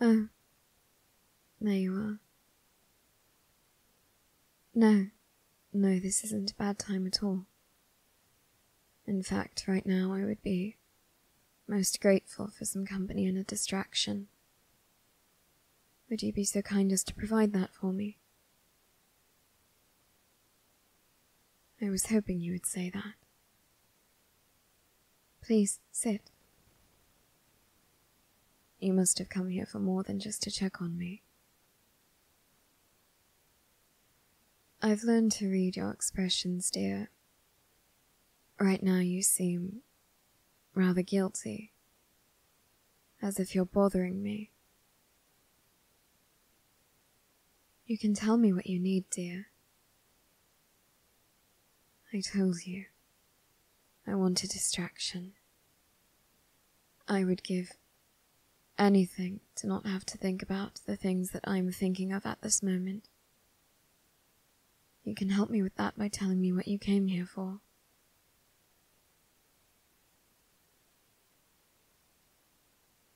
Oh, there you are. No, no, this isn't a bad time at all. In fact, right now I would be most grateful for some company and a distraction. Would you be so kind as to provide that for me? I was hoping you would say that. Please sit. You must have come here for more than just to check on me. I've learned to read your expressions, dear. Right now you seem rather guilty, as if you're bothering me. You can tell me what you need, dear. I told you I want a distraction. I would give anything to not have to think about the things that I'm thinking of at this moment. You can help me with that by telling me what you came here for.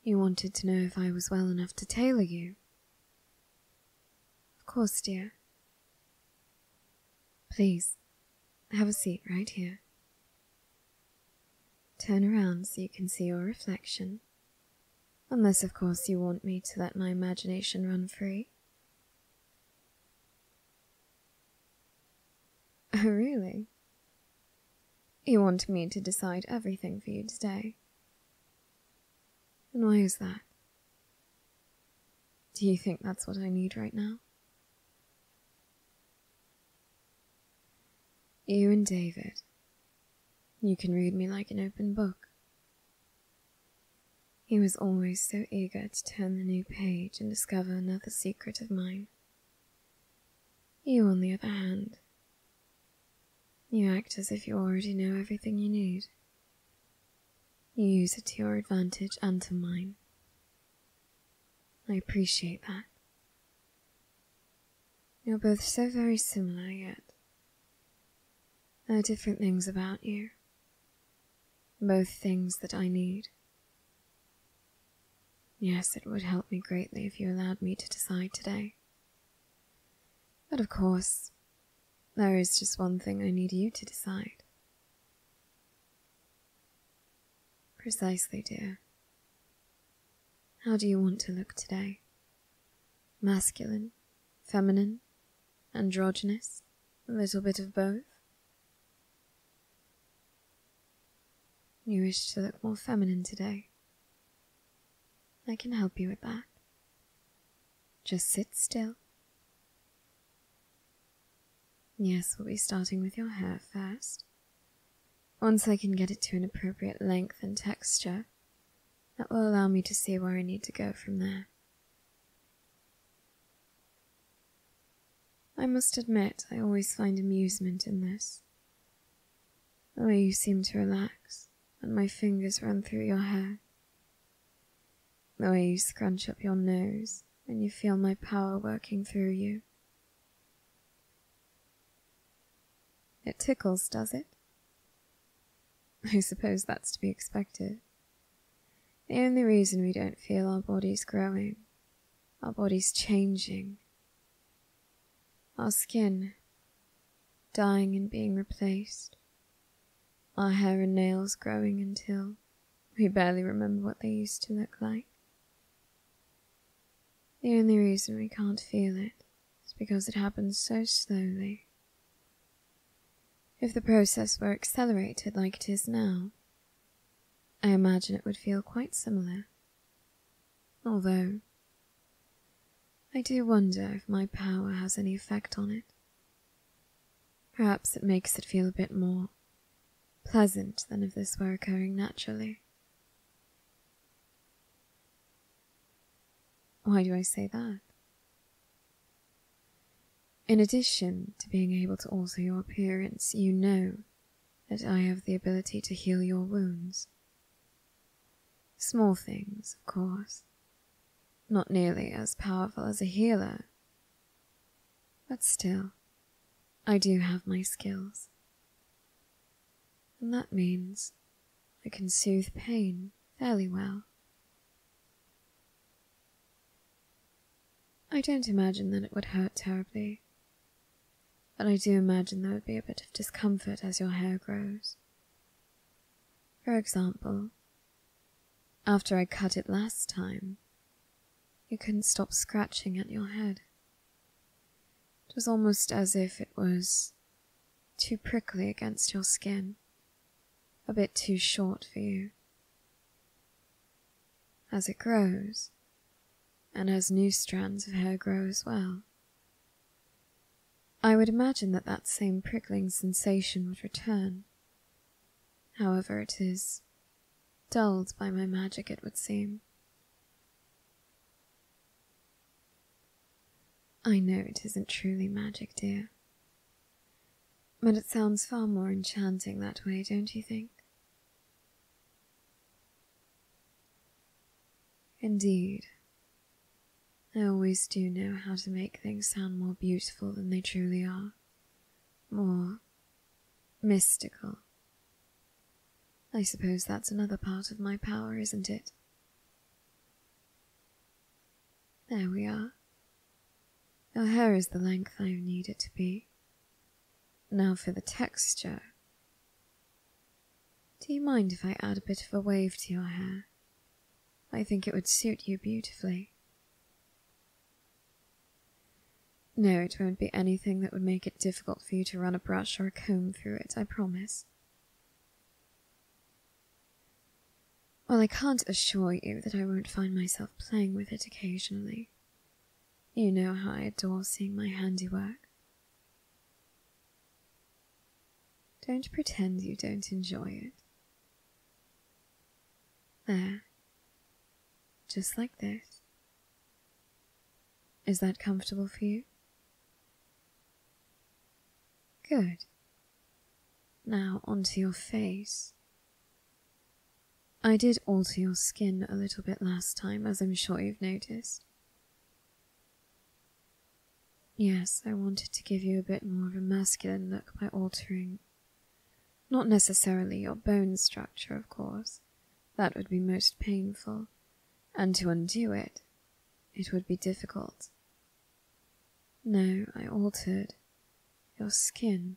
You wanted to know if I was well enough to tailor you. Of course, dear, Please, have a seat right here. Turn around so you can see your reflection. Unless, of course, you want me to let my imagination run free. Oh, really? You want me to decide everything for you today? And why is that? Do you think that's what I need right now? You and David. You can read me like an open book. He was always so eager to turn the new page and discover another secret of mine. You, on the other hand, you act as if you already know everything you need. Use it to your advantage and to mine. I appreciate that. You're both so very similar, yet there are different things about you. Both things that I need. Yes, it would help me greatly if you allowed me to decide today. But of course, there is just one thing I need you to decide. Precisely, dear. How do you want to look today? Masculine, feminine, androgynous, a little bit of both? You wish to look more feminine today. I can help you with that. Just sit still. Yes, we'll be starting with your hair first. Once I can get it to an appropriate length and texture, that will allow me to see where I need to go from there. I must admit, I always find amusement in this. The way you seem to relax, when my fingers run through your hair, the way you scrunch up your nose and you feel my power working through you. It tickles, does it? I suppose that's to be expected. The only reason we don't feel our bodies growing, our bodies changing, our skin dying and being replaced, our hair and nails growing until we barely remember what they used to look like. The only reason we can't feel it is because it happens so slowly. If the process were accelerated like it is now, I imagine it would feel quite similar. Although, I do wonder if my power has any effect on it. Perhaps it makes it feel a bit more pleasant than if this were occurring naturally. Why do I say that? In addition to being able to alter your appearance, you know that I have the ability to heal your wounds. Small things, of course, not nearly as powerful as a healer. But still, I do have my skills. And that means I can soothe pain fairly well. I don't imagine that it would hurt terribly, but I do imagine there would be a bit of discomfort as your hair grows. For example, after I cut it last time, you couldn't stop scratching at your head. It was almost as if it was too prickly against your skin, a bit too short for you. As it grows, and as new strands of hair grow as well, I would imagine that that same prickling sensation would return. However, it is dulled by my magic, it would seem. I know it isn't truly magic, dear. But it sounds far more enchanting that way, don't you think? Indeed, I always do know how to make things sound more beautiful than they truly are, more mystical. I suppose that's another part of my power, isn't it? There we are. Your hair is the length I need it to be. Now for the texture. Do you mind if I add a bit of a wave to your hair? I think it would suit you beautifully. No, it won't be anything that would make it difficult for you to run a brush or a comb through it, I promise. Well, I can't assure you that I won't find myself playing with it occasionally. You know how I adore seeing my handiwork. Don't pretend you don't enjoy it. There. Just like this. Is that comfortable for you? Good. Now onto your face. I did alter your skin a little bit last time, as I'm sure you've noticed. Yes, I wanted to give you a bit more of a masculine look by altering. Not necessarily your bone structure, of course. That would be most painful. And to undo it, it would be difficult. No, I altered your skin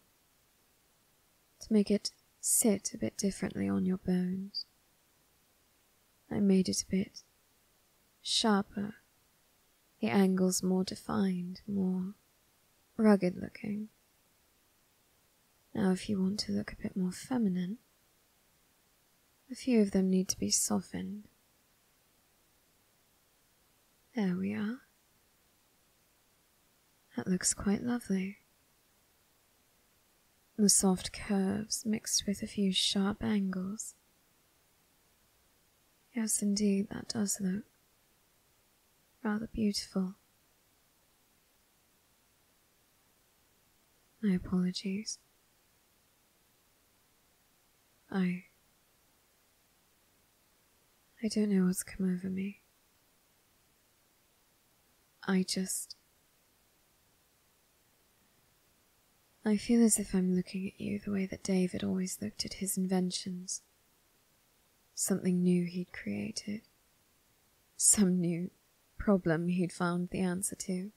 to make it sit a bit differently on your bones. I made it a bit sharper the angles more defined, more rugged looking. Now, if you want to look a bit more feminine, a few of them need to be softened. There we are. That looks quite lovely. The soft curves mixed with a few sharp angles. Yes, indeed, that does look rather beautiful. My apologies. I. I don't know what's come over me. I just. I feel as if I'm looking at you the way that David always looked at his inventions. Something new he'd created. Some new problem he'd found the answer to.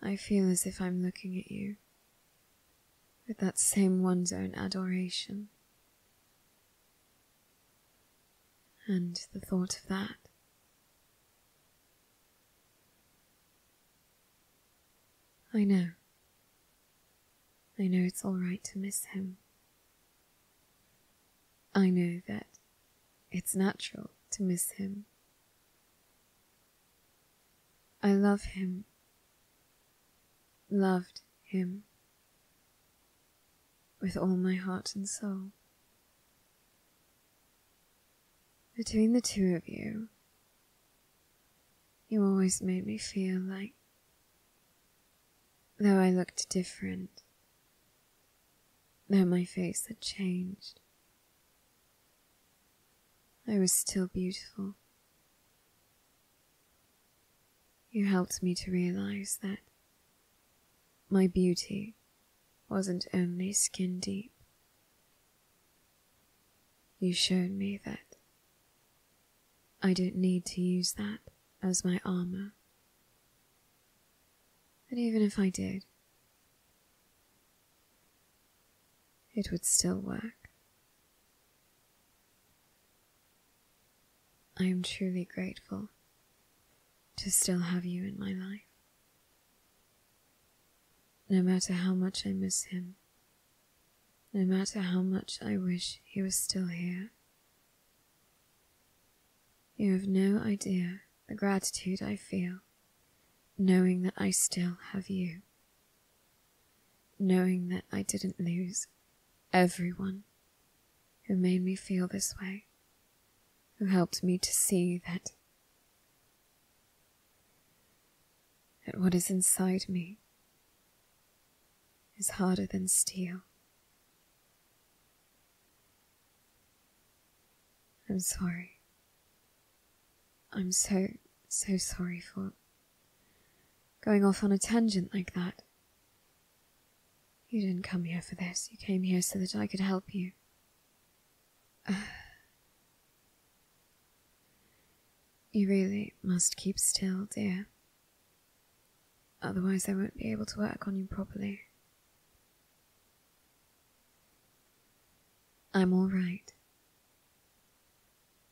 I feel as if I'm looking at you with that same one's own adoration. And the thought of that I know. I know it's all right to miss him. I know that it's natural to miss him. I love him. Loved him. With all my heart and soul. Between the two of you, you always made me feel like, though I looked different, though my face had changed, I was still beautiful. You helped me to realize that my beauty wasn't only skin deep, you showed me that I don't need to use that as my armor. And even if I did, it would still work. I am truly grateful to still have you in my life. No matter how much I miss him, no matter how much I wish he was still here, you have no idea the gratitude I feel knowing that I still have you, knowing that I didn't lose everyone who made me feel this way, who helped me to see that that what is inside me is harder than steel. I'm sorry. I'm so, so sorry for going off on a tangent like that. You didn't come here for this. You came here so that I could help you. You really must keep still, dear. Otherwise, I won't be able to work on you properly. I'm all right.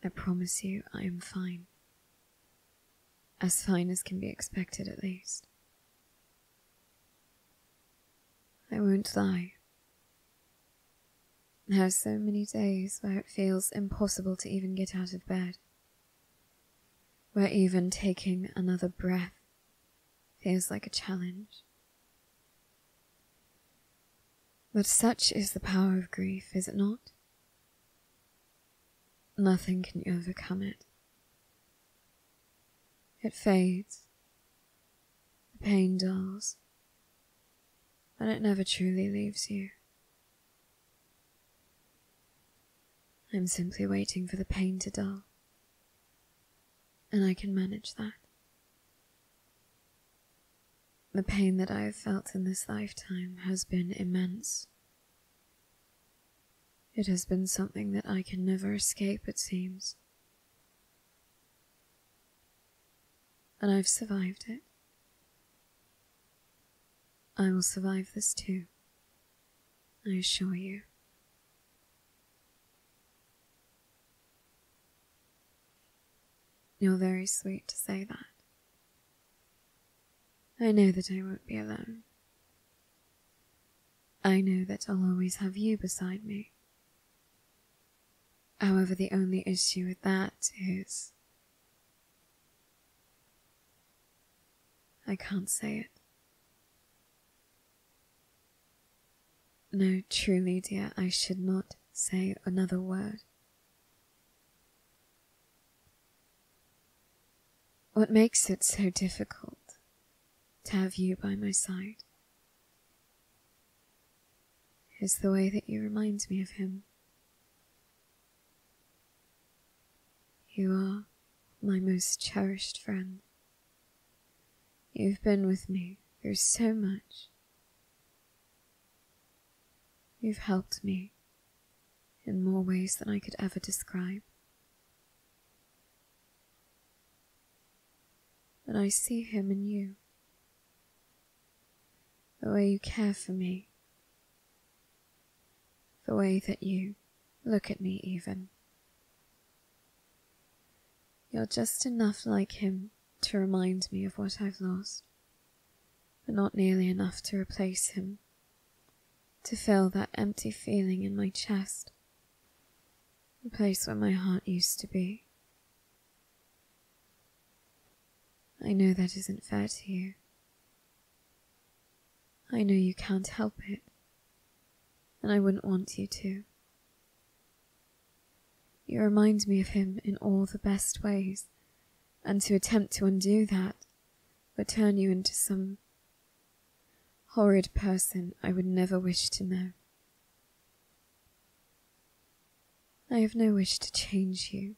I promise you I am fine. As fine as can be expected, at least. I won't lie. There are so many days where it feels impossible to even get out of bed, where even taking another breath feels like a challenge. But such is the power of grief, is it not? Nothing can overcome it. It fades the pain dulls, but it never truly leaves you. I'm simply waiting for the pain to dull, and I can manage that. The pain that I have felt in this lifetime has been immense. It has been something that I can never escape, it seems. And I've survived it. I will survive this too, I assure you. You're very sweet to say that. I know that I won't be alone. I know that I'll always have you beside me. However, the only issue with that is. I can't say it. No, truly, dear, I should not say another word. What makes it so difficult to have you by my side is the way that you remind me of him. You are my most cherished friend. You've been with me through so much. You've helped me in more ways than I could ever describe. And I see him in you. The way you care for me. The way that you look at me, even. You're just enough like him to remind me of what I've lost, but not nearly enough to replace him, to fill that empty feeling in my chest the place where my heart used to be. I know that isn't fair to you. I know you can't help it, and I wouldn't want you to. You remind me of him in all the best ways, and to attempt to undo that would turn you into some horrid person I would never wish to know. I have no wish to change you,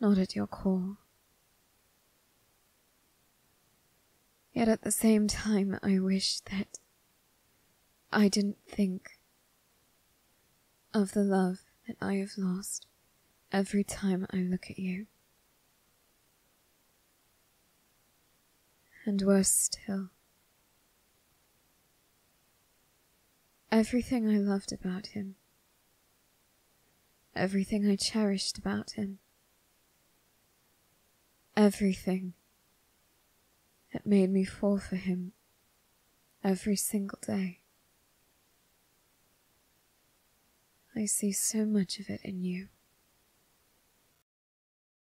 not at your core. Yet at the same time, I wish that I didn't think of the love that I have lost every time I look at you. And worse still, Everything I loved about him, everything I cherished about him, everything that made me fall for him every single day. I see so much of it in you.